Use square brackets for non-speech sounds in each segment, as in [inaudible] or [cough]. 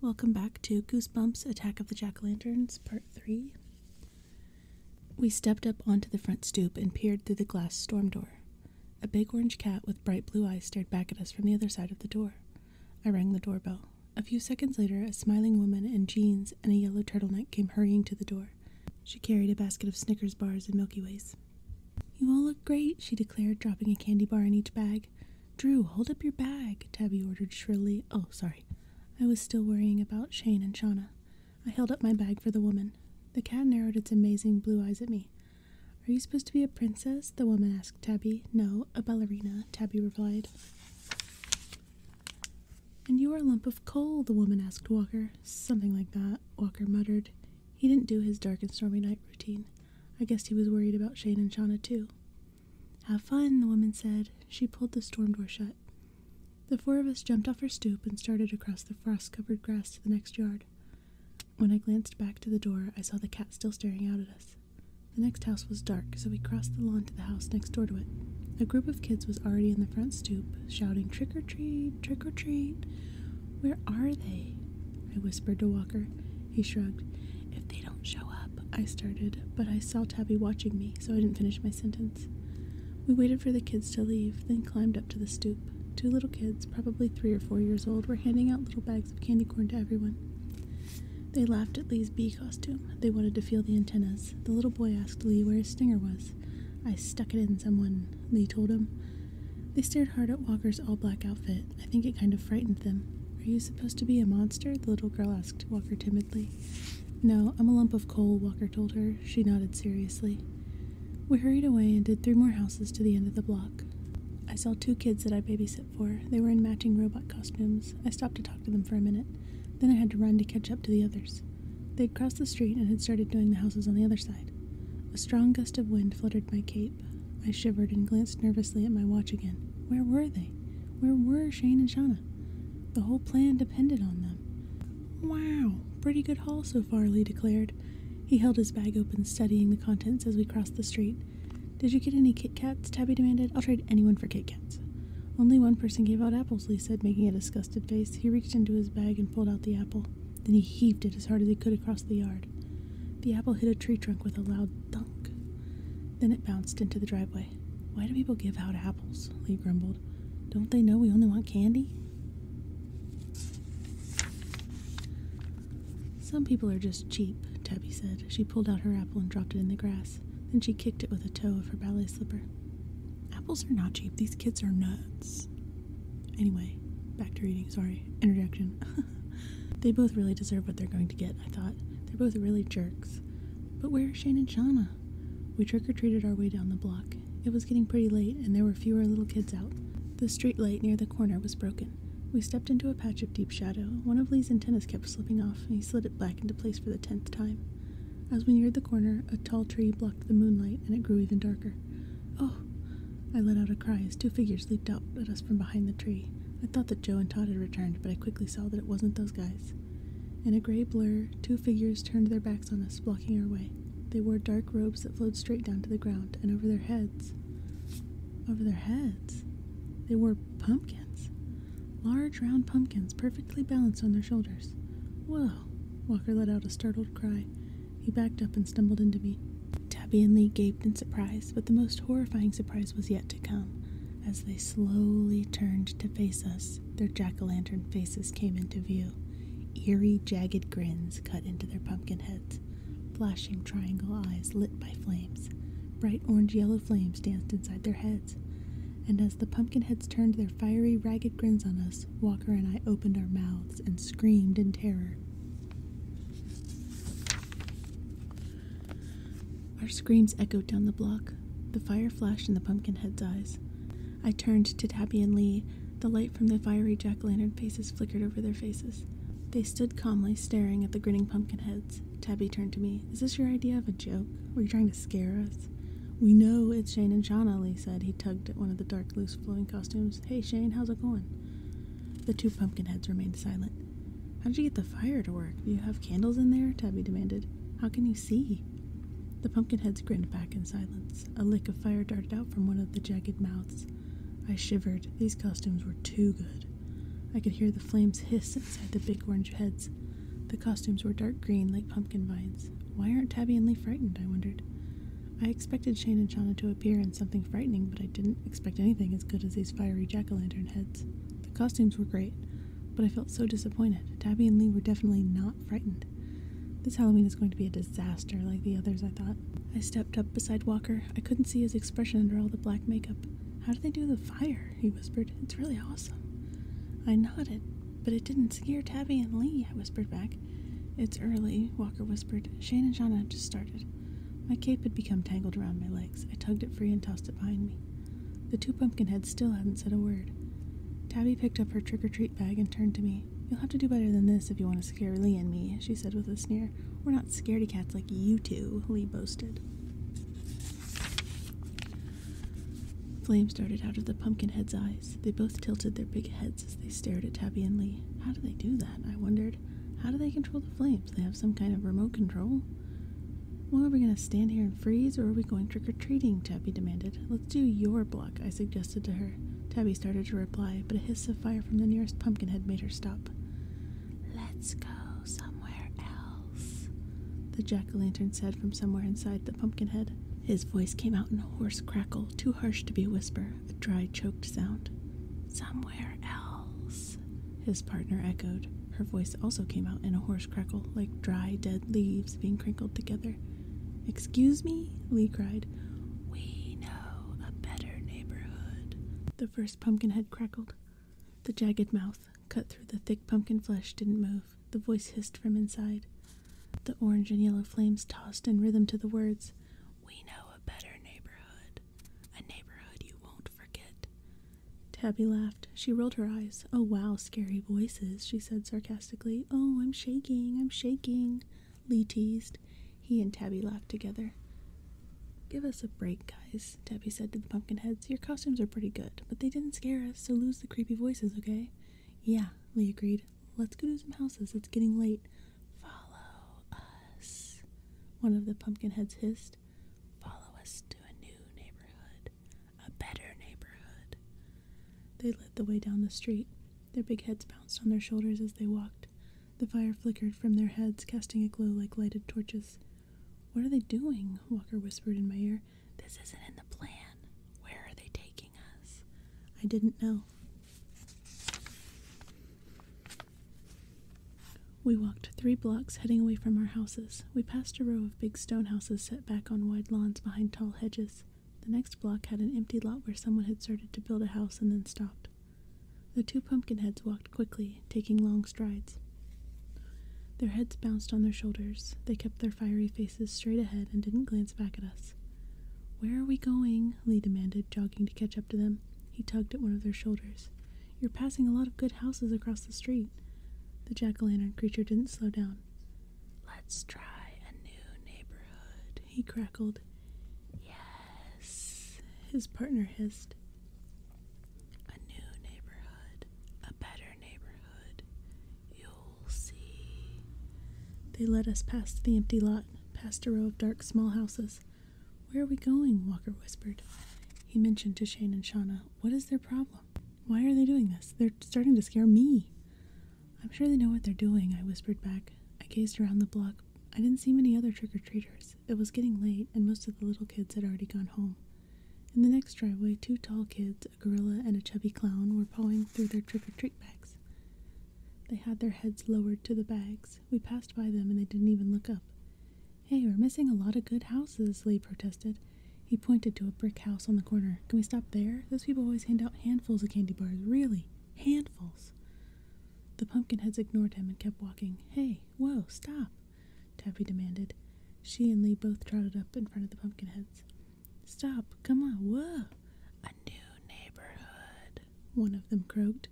Welcome back to Goosebumps Attack of the Jack Lanterns, Part 3. We stepped up onto the front stoop and peered through the glass storm door. A big orange cat with bright blue eyes stared back at us from the other side of the door. I rang the doorbell. A few seconds later, a smiling woman in jeans and a yellow turtleneck came hurrying to the door. She carried a basket of Snickers bars and Milky Ways. You all look great, she declared, dropping a candy bar in each bag. Drew, hold up your bag, Tabby ordered shrilly. Oh, sorry. I was still worrying about Shane and Shauna. I held up my bag for the woman. The cat narrowed its amazing blue eyes at me. Are you supposed to be a princess? The woman asked Tabby. No, a ballerina, Tabby replied. And you are a lump of coal, the woman asked Walker. Something like that, Walker muttered. He didn't do his dark and stormy night routine. I guessed he was worried about Shane and Shauna, too. Have fun, the woman said. She pulled the storm door shut. The four of us jumped off her stoop and started across the frost covered grass to the next yard. When I glanced back to the door, I saw the cat still staring out at us. The next house was dark, so we crossed the lawn to the house next door to it. A group of kids was already in the front stoop, shouting, Trick or treat, trick or treat. Where are they? I whispered to Walker. He shrugged. If they don't show up, I started, but I saw Tabby watching me, so I didn't finish my sentence. We waited for the kids to leave, then climbed up to the stoop. Two little kids, probably three or four years old, were handing out little bags of candy corn to everyone. They laughed at Lee's bee costume. They wanted to feel the antennas. The little boy asked Lee where his stinger was. I stuck it in someone, Lee told him. They stared hard at Walker's all black outfit. I think it kind of frightened them. Are you supposed to be a monster? The little girl asked Walker timidly. No, I'm a lump of coal, Walker told her. She nodded seriously. We hurried away and did three more houses to the end of the block. I saw two kids that I babysit for. They were in matching robot costumes. I stopped to talk to them for a minute. Then I had to run to catch up to the others. They'd crossed the street and had started doing the houses on the other side. A strong gust of wind fluttered my cape. I shivered and glanced nervously at my watch again. Where were they? Where were Shane and Shauna? The whole plan depended on them. Wow, pretty good haul so far, Lee declared. He held his bag open, studying the contents as we crossed the street. Did you get any Kit Kats? Tabby demanded. I'll trade anyone for Kit Kats. Only one person gave out apples, Lee said, making a disgusted face. He reached into his bag and pulled out the apple. Then he heaved it as hard as he could across the yard. The apple hit a tree trunk with a loud thunk. Then it bounced into the driveway. Why do people give out apples? Lee grumbled. Don't they know we only want candy? Some people are just cheap, Tabby said. She pulled out her apple and dropped it in the grass. Then she kicked it with a toe of her ballet slipper. Apples are not cheap. These kids are nuts. Anyway, back to reading. Sorry. Introduction. [laughs] [laughs] they both really deserve what they're going to get, I thought. They're both really jerks. But where are Shane and Shauna? We trick or treated our way down the block. It was getting pretty late, and there were fewer little kids out. The street light near the corner was broken. We stepped into a patch of deep shadow. One of Lee's antennas kept slipping off, and he slid it back into place for the tenth time. As we neared the corner, a tall tree blocked the moonlight, and it grew even darker. Oh! I let out a cry as two figures leaped out at us from behind the tree. I thought that Joe and Todd had returned, but I quickly saw that it wasn't those guys. In a gray blur, two figures turned their backs on us, blocking our way. They wore dark robes that flowed straight down to the ground, and over their heads, over their heads, they wore pumpkins. Large, round pumpkins, perfectly balanced on their shoulders. Whoa! Walker let out a startled cry. He backed up and stumbled into me. Tabby and Lee gaped in surprise, but the most horrifying surprise was yet to come. As they slowly turned to face us, their jack o' lantern faces came into view. Eerie, jagged grins cut into their pumpkin heads. Flashing triangle eyes lit by flames. Bright orange yellow flames danced inside their heads. And as the pumpkin heads turned their fiery, ragged grins on us, Walker and I opened our mouths and screamed in terror. Our screams echoed down the block. The fire flashed in the pumpkinhead's eyes. I turned to Tabby and Lee. The light from the fiery jack lantern faces flickered over their faces. They stood calmly staring at the grinning pumpkinheads. Tabby turned to me. Is this your idea of a joke? Were you trying to scare us? We know it's Shane and Shauna, Lee said. He tugged at one of the dark, loose, flowing costumes. Hey, Shane, how's it going? The two pumpkin heads remained silent. How did you get the fire to work? Do you have candles in there? Tabby demanded. How can you see? The pumpkin heads grinned back in silence. A lick of fire darted out from one of the jagged mouths. I shivered. These costumes were too good. I could hear the flames hiss inside the big orange heads. The costumes were dark green like pumpkin vines. Why aren't Tabby and Lee frightened? I wondered. I expected Shane and Shauna to appear in something frightening, but I didn't expect anything as good as these fiery jack o' lanterns heads. The costumes were great, but I felt so disappointed. Tabby and Lee were definitely not frightened. This Halloween is going to be a disaster, like the others, I thought. I stepped up beside Walker. I couldn't see his expression under all the black makeup. How do they do the fire? He whispered. It's really awesome. I nodded, but it didn't scare Tabby and Lee, I whispered back. It's early, Walker whispered. Shane and Shauna just started. My cape had become tangled around my legs. I tugged it free and tossed it behind me. The two pumpkin heads still hadn't said a word. Tabby picked up her trick or treat bag and turned to me. You'll have to do better than this if you want to scare Lee and me, she said with a sneer. We're not scaredy cats like you two, Lee boasted. Flames started out of the pumpkin head's eyes. They both tilted their big heads as they stared at Tabby and Lee. How do they do that? I wondered. How do they control the flames? They have some kind of remote control? Well, are we going to stand here and freeze, or are we going trick or treating? Tabby demanded. Let's do your block, I suggested to her. Tabby started to reply, but a hiss of fire from the nearest pumpkin had made her stop. Let's go somewhere else, the jack o' lantern said from somewhere inside the pumpkin head. His voice came out in a hoarse crackle, too harsh to be a whisper, a dry, choked sound. Somewhere else, his partner echoed. Her voice also came out in a hoarse crackle, like dry, dead leaves being crinkled together. Excuse me? Lee cried. We know a better neighborhood. The first pumpkin head crackled. The jagged mouth, cut through the thick pumpkin flesh, didn't move. The voice hissed from inside. The orange and yellow flames tossed in rhythm to the words. We know a better neighborhood. A neighborhood you won't forget. Tabby laughed. She rolled her eyes. Oh, wow, scary voices, she said sarcastically. Oh, I'm shaking, I'm shaking, Lee teased. He and Tabby laughed together. Give us a break, guys, Tabby said to the pumpkinheads. Your costumes are pretty good, but they didn't scare us, so lose the creepy voices, okay? Yeah, Lee agreed. Let's go to some houses. It's getting late. Follow us, one of the pumpkinheads hissed. Follow us to a new neighborhood, a better neighborhood. They led the way down the street. Their big heads bounced on their shoulders as they walked. The fire flickered from their heads, casting a glow like lighted torches. What are they doing? Walker whispered in my ear. This isn't in the plan. Where are they taking us? I didn't know. We walked three blocks heading away from our houses. We passed a row of big stone houses set back on wide lawns behind tall hedges. The next block had an empty lot where someone had started to build a house and then stopped. The two pumpkinheads walked quickly, taking long strides. Their heads bounced on their shoulders. They kept their fiery faces straight ahead and didn't glance back at us. Where are we going? Lee demanded, jogging to catch up to them. He tugged at one of their shoulders. You're passing a lot of good houses across the street. The jack o' lantern creature didn't slow down. Let's try a new neighborhood, he crackled. Yes, his partner hissed. A new neighborhood, a better neighborhood. You'll see. They led us past the empty lot, past a row of dark small houses. Where are we going? Walker whispered. He mentioned to Shane and Shauna, What is their problem? Why are they doing this? They're starting to scare me. I'm sure they know what they're doing, I whispered back. I gazed around the block. I didn't see many other trick or treaters. It was getting late, and most of the little kids had already gone home. In the next driveway, two tall kids, a gorilla and a chubby clown, were pawing through their trick or treat bags. They had their heads lowered to the bags. We passed by them and they didn't even look up. Hey, we're missing a lot of good houses, Lee protested. He pointed to a brick house on the corner. Can we stop there? Those people always hand out handfuls of candy bars. Really? Handfuls. The pumpkinheads ignored him and kept walking. Hey, whoa, stop, Taffy demanded. She and Lee both trotted up in front of the pumpkinheads. Stop, come on, whoa. A new neighborhood, one of them croaked.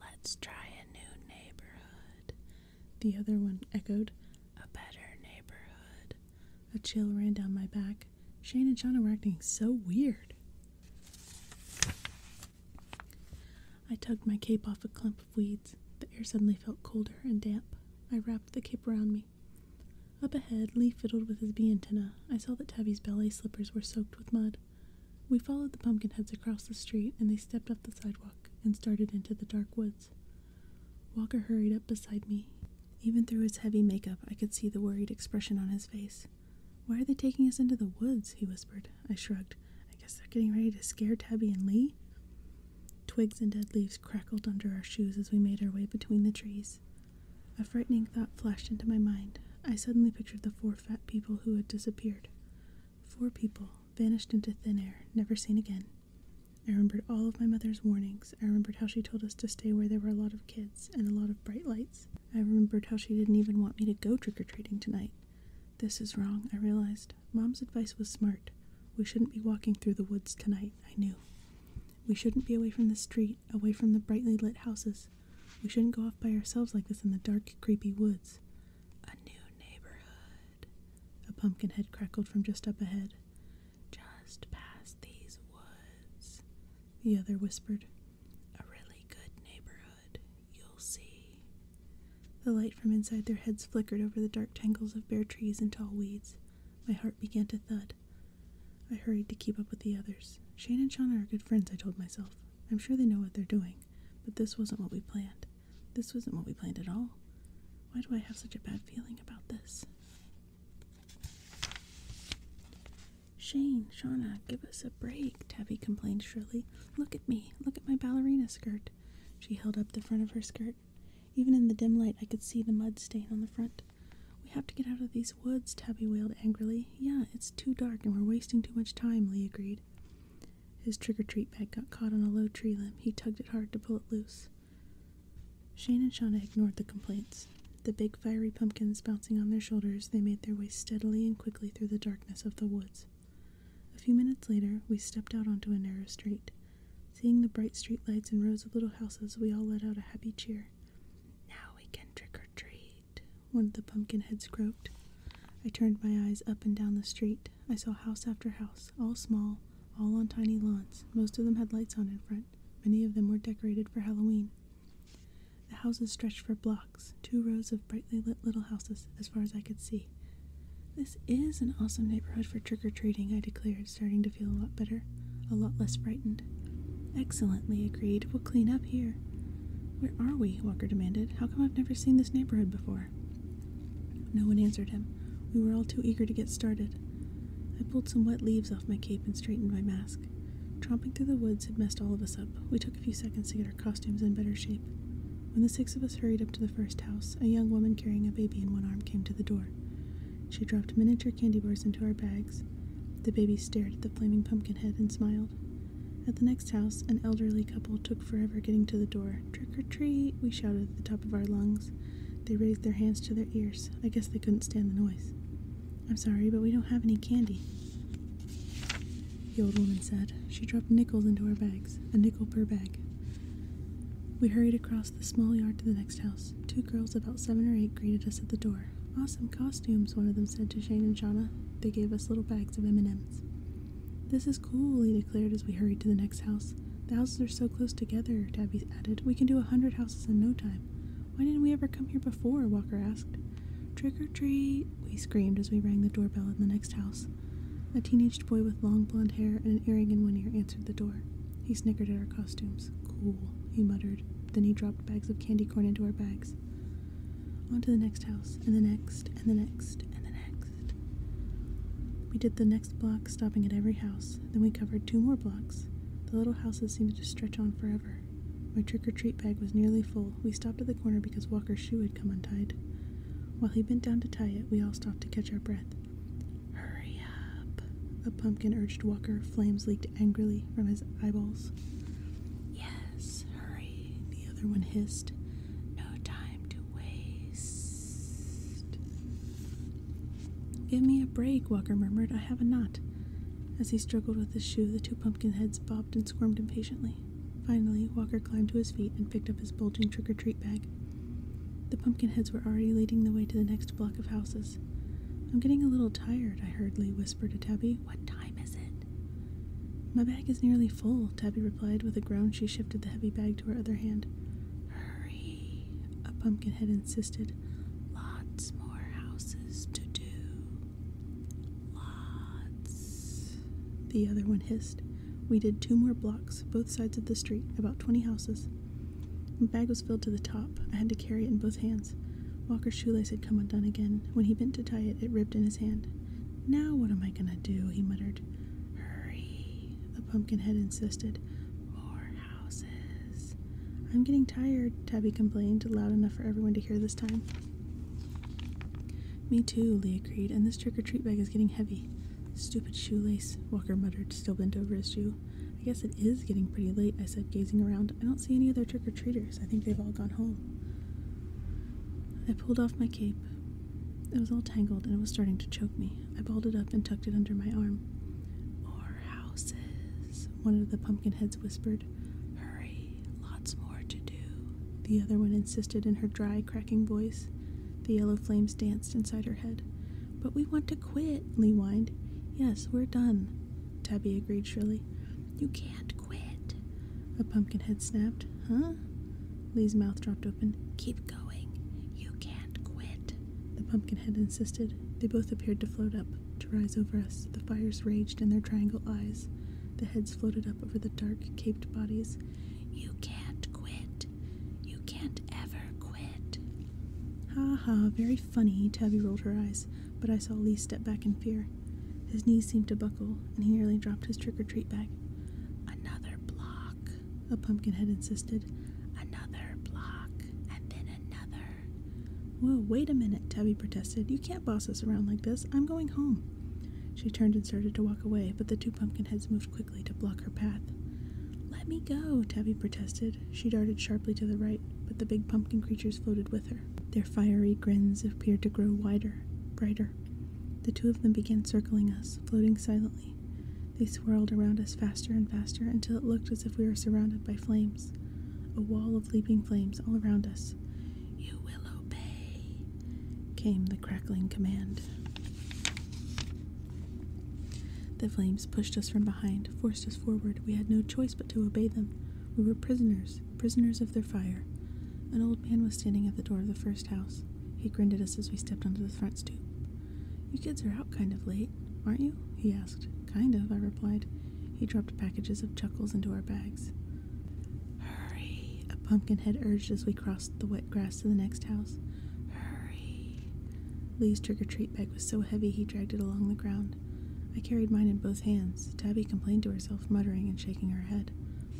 Let's try a new neighborhood. The other one echoed, A better neighborhood. A chill ran down my back. Shane and Shauna were acting so weird. I tugged my cape off a clump of weeds. The air suddenly felt colder and damp. I wrapped the cape around me. Up ahead, Lee fiddled with his bee antenna. I saw that Tabby's ballet slippers were soaked with mud. We followed the pumpkinheads across the street, and they stepped up the sidewalk and started into the dark woods. Walker hurried up beside me. Even through his heavy makeup, I could see the worried expression on his face. Why are they taking us into the woods? he whispered. I shrugged. I guess they're getting ready to scare Tabby and Lee? Twigs and dead leaves crackled under our shoes as we made our way between the trees. A frightening thought flashed into my mind. I suddenly pictured the four fat people who had disappeared. Four people, vanished into thin air, never seen again. I remembered all of my mother's warnings. I remembered how she told us to stay where there were a lot of kids and a lot of bright lights. I remembered how she didn't even want me to go trick or treating tonight. This is wrong, I realized. Mom's advice was smart. We shouldn't be walking through the woods tonight, I knew. We shouldn't be away from the street, away from the brightly lit houses. We shouldn't go off by ourselves like this in the dark, creepy woods. A new neighborhood. A pumpkin head crackled from just up ahead. Just past these woods, the other whispered. A really good neighborhood, you'll see. The light from inside their heads flickered over the dark tangles of bare trees and tall weeds. My heart began to thud. I hurried to keep up with the others. Shane and Shauna are good friends, I told myself. I'm sure they know what they're doing. But this wasn't what we planned. This wasn't what we planned at all. Why do I have such a bad feeling about this? Shane, Shauna, give us a break, Tabby complained shrilly. Look at me. Look at my ballerina skirt. She held up the front of her skirt. Even in the dim light, I could see the mud stain on the front. We have to get out of these woods, Tabby wailed angrily. Yeah, it's too dark and we're wasting too much time, Lee agreed. His trick or treat bag got caught on a low tree limb. He tugged it hard to pull it loose. Shane and Shawna ignored the complaints. The big fiery pumpkins bouncing on their shoulders, they made their way steadily and quickly through the darkness of the woods. A few minutes later, we stepped out onto a narrow street. Seeing the bright street lights and rows of little houses, we all let out a happy cheer. Now we can trick or treat one of the pumpkin heads croaked. I turned my eyes up and down the street. I saw house after house, all small, all on tiny lawns. Most of them had lights on in front. Many of them were decorated for Halloween. The houses stretched for blocks, two rows of brightly lit little houses, as far as I could see. This is an awesome neighborhood for trick or treating, I declared, starting to feel a lot better, a lot less frightened. Excellently agreed. We'll clean up here. Where are we? Walker demanded. How come I've never seen this neighborhood before? No one answered him. We were all too eager to get started. I pulled some wet leaves off my cape and straightened my mask. Tromping through the woods had messed all of us up. We took a few seconds to get our costumes in better shape. When the six of us hurried up to the first house, a young woman carrying a baby in one arm came to the door. She dropped miniature candy bars into our bags. The baby stared at the flaming pumpkin head and smiled. At the next house, an elderly couple took forever getting to the door. Trick or treat, we shouted at the top of our lungs. They raised their hands to their ears. I guess they couldn't stand the noise. I'm sorry, but we don't have any candy, the old woman said. She dropped nickels into our bags, a nickel per bag. We hurried across the small yard to the next house. Two girls, about seven or eight, greeted us at the door. Awesome costumes, one of them said to Shane and Shauna. They gave us little bags of M&Ms. This is cool, he declared as we hurried to the next house. The houses are so close together, Tabby added. We can do a hundred houses in no time. Why didn't we ever come here before? Walker asked. Trick or treat, we screamed as we rang the doorbell in the next house. A teenaged boy with long blond hair and an earring in one ear answered the door. He snickered at our costumes. Cool, he muttered. Then he dropped bags of candy corn into our bags. On to the next house, and the next, and the next, and the next. We did the next block, stopping at every house. Then we covered two more blocks. The little houses seemed to stretch on forever. My trick or treat bag was nearly full. We stopped at the corner because Walker's shoe had come untied. While he bent down to tie it, we all stopped to catch our breath. Hurry up! A pumpkin urged Walker. Flames leaked angrily from his eyeballs. Yes! hurry, the other one hissed. No time to waste. Give me a break, Walker murmured. I have a knot. As he struggled with his shoe, the two pumpkin heads bobbed and squirmed impatiently. Finally, Walker climbed to his feet and picked up his bulging trick or treat bag. The pumpkin heads were already leading the way to the next block of houses. I'm getting a little tired, I hurriedly whispered to Tabby. What time is it? My bag is nearly full, Tabby replied. With a groan, she shifted the heavy bag to her other hand. Hurry, a pumpkinhead insisted. Lots more houses to do. Lots, the other one hissed. We did two more blocks, both sides of the street, about 20 houses. The bag was filled to the top. I had to carry it in both hands. Walker's shoelace had come undone again. When he bent to tie it, it ripped in his hand. Now what am I gonna do? he muttered. Hurry, the pumpkinhead insisted. More houses. I'm getting tired, Tabby complained, loud enough for everyone to hear this time. Me too, Lee agreed, and this trick or treat bag is getting heavy. Stupid shoelace, Walker muttered, still bent over his shoe. I guess it is getting pretty late, I said, gazing around. I don't see any other trick or treaters. I think they've all gone home. I pulled off my cape. It was all tangled and it was starting to choke me. I balled it up and tucked it under my arm. More houses, one of the pumpkin heads whispered. Hurry, lots more to do. The other one insisted in her dry, cracking voice. The yellow flames danced inside her head. But we want to quit, Lee whined. Yes, we're done, Tabby agreed shrilly. You can't quit, a pumpkinhead snapped. Huh? Lee's mouth dropped open. Keep going. You can't quit, the pumpkinhead insisted. They both appeared to float up, to rise over us. The fires raged in their triangle eyes. The heads floated up over the dark, caped bodies. You can't quit. You can't ever quit. Ha ha, very funny, Tabby rolled her eyes, but I saw Lee step back in fear. His knees seemed to buckle, and he nearly dropped his trick or treat bag. Another block, a pumpkinhead insisted. Another block, and then another. Whoa, wait a minute, Tubby protested. You can't boss us around like this. I'm going home. She turned and started to walk away, but the two pumpkinheads moved quickly to block her path. Let me go, Tabby protested. She darted sharply to the right, but the big pumpkin creatures floated with her. Their fiery grins appeared to grow wider, brighter. The two of them began circling us, floating silently. They swirled around us faster and faster until it looked as if we were surrounded by flames. A wall of leaping flames all around us. You will obey, came the crackling command. The flames pushed us from behind, forced us forward. We had no choice but to obey them. We were prisoners, prisoners, of their fire. An old man was standing at the door of the first house. He grinned at us as we stepped onto the front stoop. You kids are out kind of late, aren't you? he asked. Kind of, I replied. He dropped packages of chuckles into our bags. Hurry, a head urged as we crossed the wet grass to the next house. Hurry. Lee's trick or treat bag was so heavy he dragged it along the ground. I carried mine in both hands. Tabby complained to herself, muttering and shaking her head.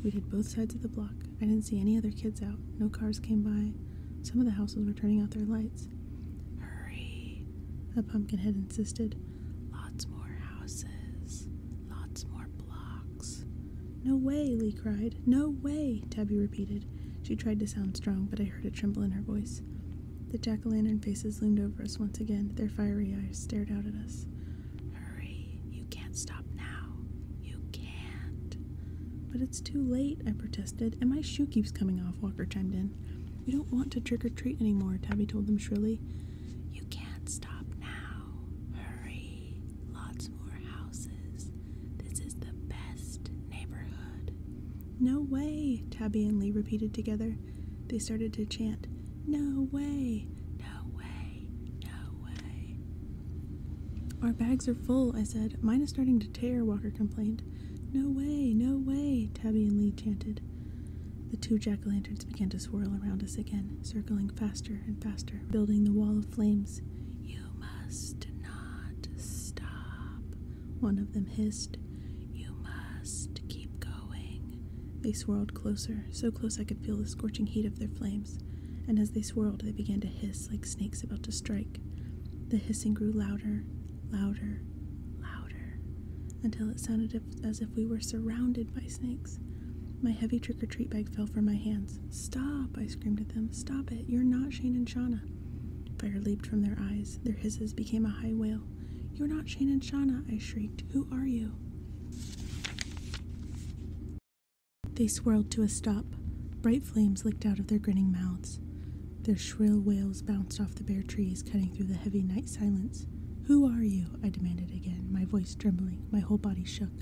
We did both sides of the block. I didn't see any other kids out. No cars came by. Some of the houses were turning out their lights. Hurry, the pumpkinhead insisted. Lots more houses. Lots more blocks. No way, Lee cried. No way, Tabby repeated. She tried to sound strong, but I heard a tremble in her voice. The jack o' lantern faces loomed over us once again, their fiery eyes stared out at us. Hurry, you can't stop now. You can't. But it's too late, I protested, and my shoe keeps coming off, Walker chimed in. We don't want to trick or treat anymore, Tabby told them shrilly. You can't stop now. Hurry. Lots more houses. This is the best neighborhood. No way, Tabby and Lee repeated together they started to chant, No way, no way, no way. Our bags are full, I said. Mine is starting to tear, Walker complained. No way, no way, Tabby and Lee chanted. The two jack o' lanterns began to swirl around us again, circling faster and faster, building the wall of flames. You must not stop, one of them hissed. You must keep going. They swirled closer, so close I could feel the scorching heat of their flames, and as they swirled, they began to hiss like snakes about to strike. The hissing grew louder, louder, louder, until it sounded as if we were surrounded by snakes. My heavy trick or treat bag fell from my hands. Stop! I screamed at them. Stop it! You're not Shane and Shauna. Fire leaped from their eyes. Their hisses became a high wail. You're not Shane and Shawna! I shrieked. Who are you? They swirled to a stop. Bright flames licked out of their grinning mouths. Their shrill wails bounced off the bare trees, cutting through the heavy night silence. Who are you? I demanded again, my voice trembling, my whole body shook.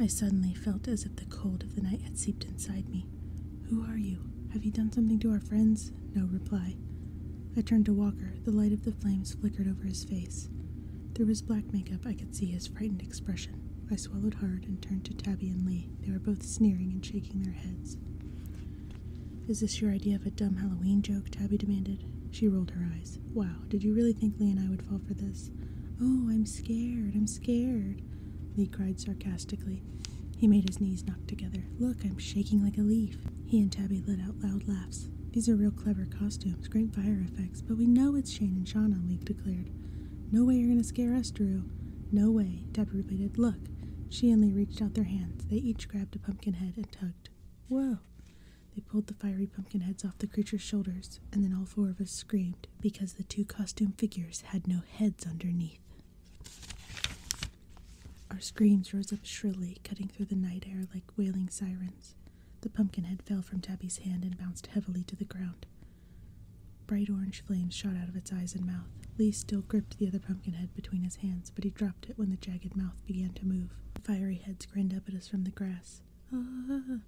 I suddenly felt as if the cold of the night had seeped inside me. Who are you? Have you done something to our friends? No reply. I turned to Walker. The light of the flames flickered over his face. Through his black makeup, I could see his frightened expression. I swallowed hard and turned to Tabby and Lee. They were both sneering and shaking their heads. Is this your idea of a dumb Halloween joke? Tabby demanded. She rolled her eyes. Wow, did you really think Lee and I would fall for this? Oh, I'm scared, I'm scared, Lee cried sarcastically. He made his knees knock together. Look, I'm shaking like a leaf. He and Tabby let out loud laughs. These are real clever costumes, great fire effects, but we know it's Shane and Shauna, Leek declared. No way you're going to scare us, Drew. No way, Tabby repeated. Look. She and Lee reached out their hands. They each grabbed a pumpkin head and tugged. Whoa. They pulled the fiery pumpkin heads off the creature's shoulders, and then all four of us screamed because the two costume figures had no heads underneath. Our screams rose up shrilly, cutting through the night air like wailing sirens. The pumpkin head fell from Tabby's hand and bounced heavily to the ground. Bright orange flames shot out of its eyes and mouth. Lee still gripped the other pumpkin head between his hands, but he dropped it when the jagged mouth began to move. fiery heads grinned up at us from the grass. Ah!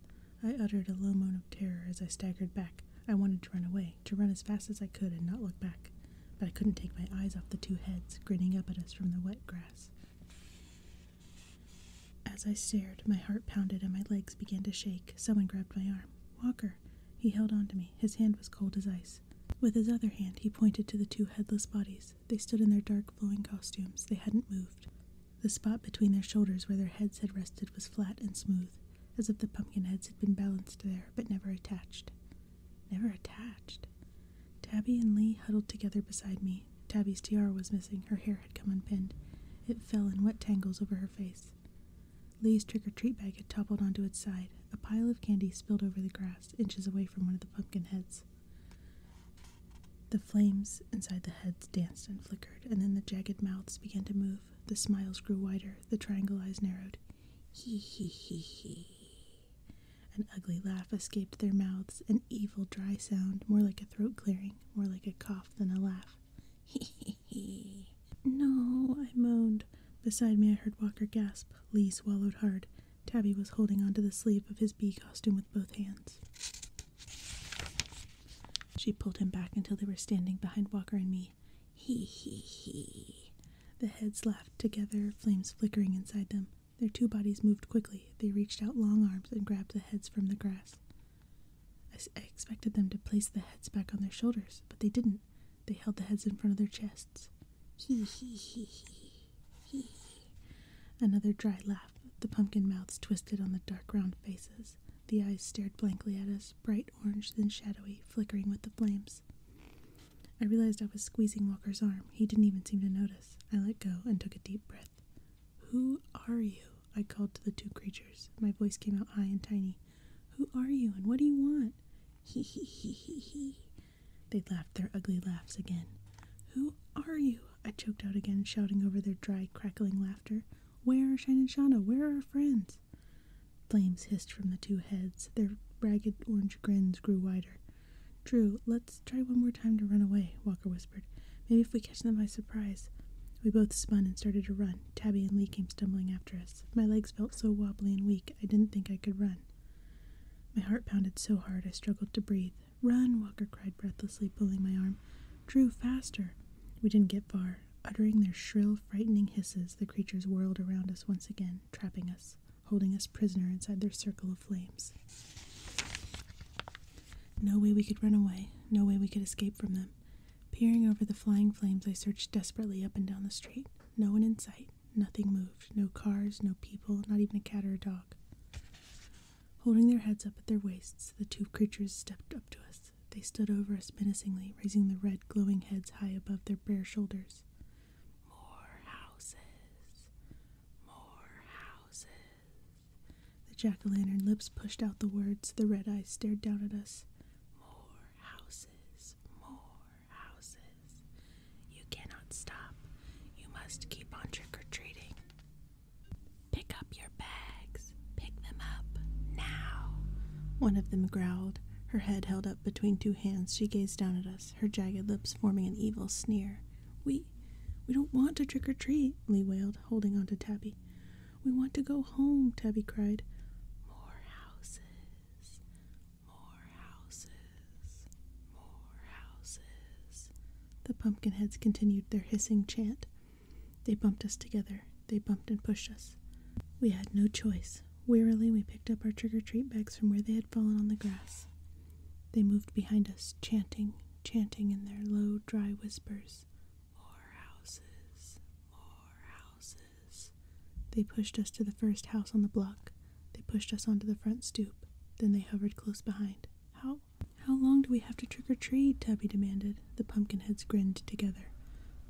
I uttered a low moan of terror as I staggered back. I wanted to run away, to run as fast as I could and not look back, but I couldn't take my eyes off the two heads grinning up at us from the wet grass grass. As I stared, my heart pounded and my legs began to shake. Someone grabbed my arm. Walker! He held on to me. His hand was cold as ice. With his other hand, he pointed to the two headless bodies. They stood in their dark, flowing costumes. They hadn't moved. The spot between their shoulders where their heads had rested was flat and smooth, as if the pumpkin heads had been balanced there but never attached never attached. Tabby and Lee huddled together beside me. Tabby's tiara was missing. Her hair had come unpinned. It fell in wet tangles over her face. Lee's trick or treat bag had toppled onto its side. A pile of candy spilled over the grass, inches away from one of the pumpkin heads. The flames inside the heads danced and flickered, and then the jagged mouths began to move. The smiles grew wider, the triangle eyes narrowed. Hee hee hee hee. An ugly laugh escaped their mouths, an evil, dry sound, more like a throat clearing, more like a cough than a laugh. [laughs] Hee hee hee. No, I moaned. Beside me, I heard Walker gasp. Lee swallowed hard. Tabby was holding onto the sleeve of his bee costume with both hands. She pulled him back until they were standing behind Walker and me. Hee hee hee. The heads laughed together, flames flickering inside them. Their two bodies moved quickly. They reached out long arms and grabbed the heads from the grass. I, expected them to place the heads back on their shoulders, but they didn't. They held the heads in front of their chests. He he he he he. Another dry laugh. The pumpkin mouths twisted on the dark round faces. The eyes stared blankly at us, bright orange, then shadowy, flickering with the flames. I realized I was squeezing Walker's arm. He didn't even seem to notice. I let go and took a deep breath. Who are you? I called to the two creatures. My voice came out high and tiny. Who are you and what do you want? [laughs] He he he he he. They laughed their ugly laughs again. Who are you? I choked out again, shouting over their dry, crackling laughter. Where are Shine and Shauna? Where are our friends? Flames hissed from the two heads. Their ragged orange grins grew wider. Drew, let's try one more time to run away, Walker whispered. Maybe if we catch them by surprise. We both spun and started to run. Tabby and Lee came stumbling after us. My legs felt so wobbly and weak, I didn't think I could run. My heart pounded so hard I struggled to breathe. Run, Walker cried breathlessly, pulling my arm. Drew, faster. We didn't get far. Uttering their shrill, frightening hisses, the creatures whirled around us once again trapping us, holding us prisoner inside their circle of flames. No way we could run away, no way we could escape from them. Peering over the flying flames, I searched desperately up and down the street. No one in sight. Nothing moved. No cars, no people, not even a cat or a dog. Holding their heads up at their waists, the two creatures stepped up to us. They stood over us menacingly, raising the red, glowing heads high above their bare shoulders. More houses. More houses. The jack o' lantern lips pushed out the words. The red eyes stared down at us. More houses. More houses. You cannot stop. You must keep on trick or treating. Pick up your bags. Pick them up now. One of them growled, her head held up between two hands, she gazed down at us, her jagged lips forming an evil sneer. We we don't want to trick or treat, Lee wailed, holding on to Tabby. We want to go home, Tabby cried. More houses. More houses. More houses. The pumpkinheads continued their hissing chant. They bumped us together. They bumped and pushed us. We had no choice. Wearily, we picked up our trick or treat bags from where they had fallen on the grass. They moved behind us, chanting, chanting in their low, dry whispers More houses, more houses. They pushed us to the first house on the block. They pushed us onto the front stoop. Then they hovered close behind. How? How long do we have to trick or treat? Tubby demanded. The pumpkinheads grinned together.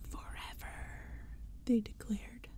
Forever, they declared.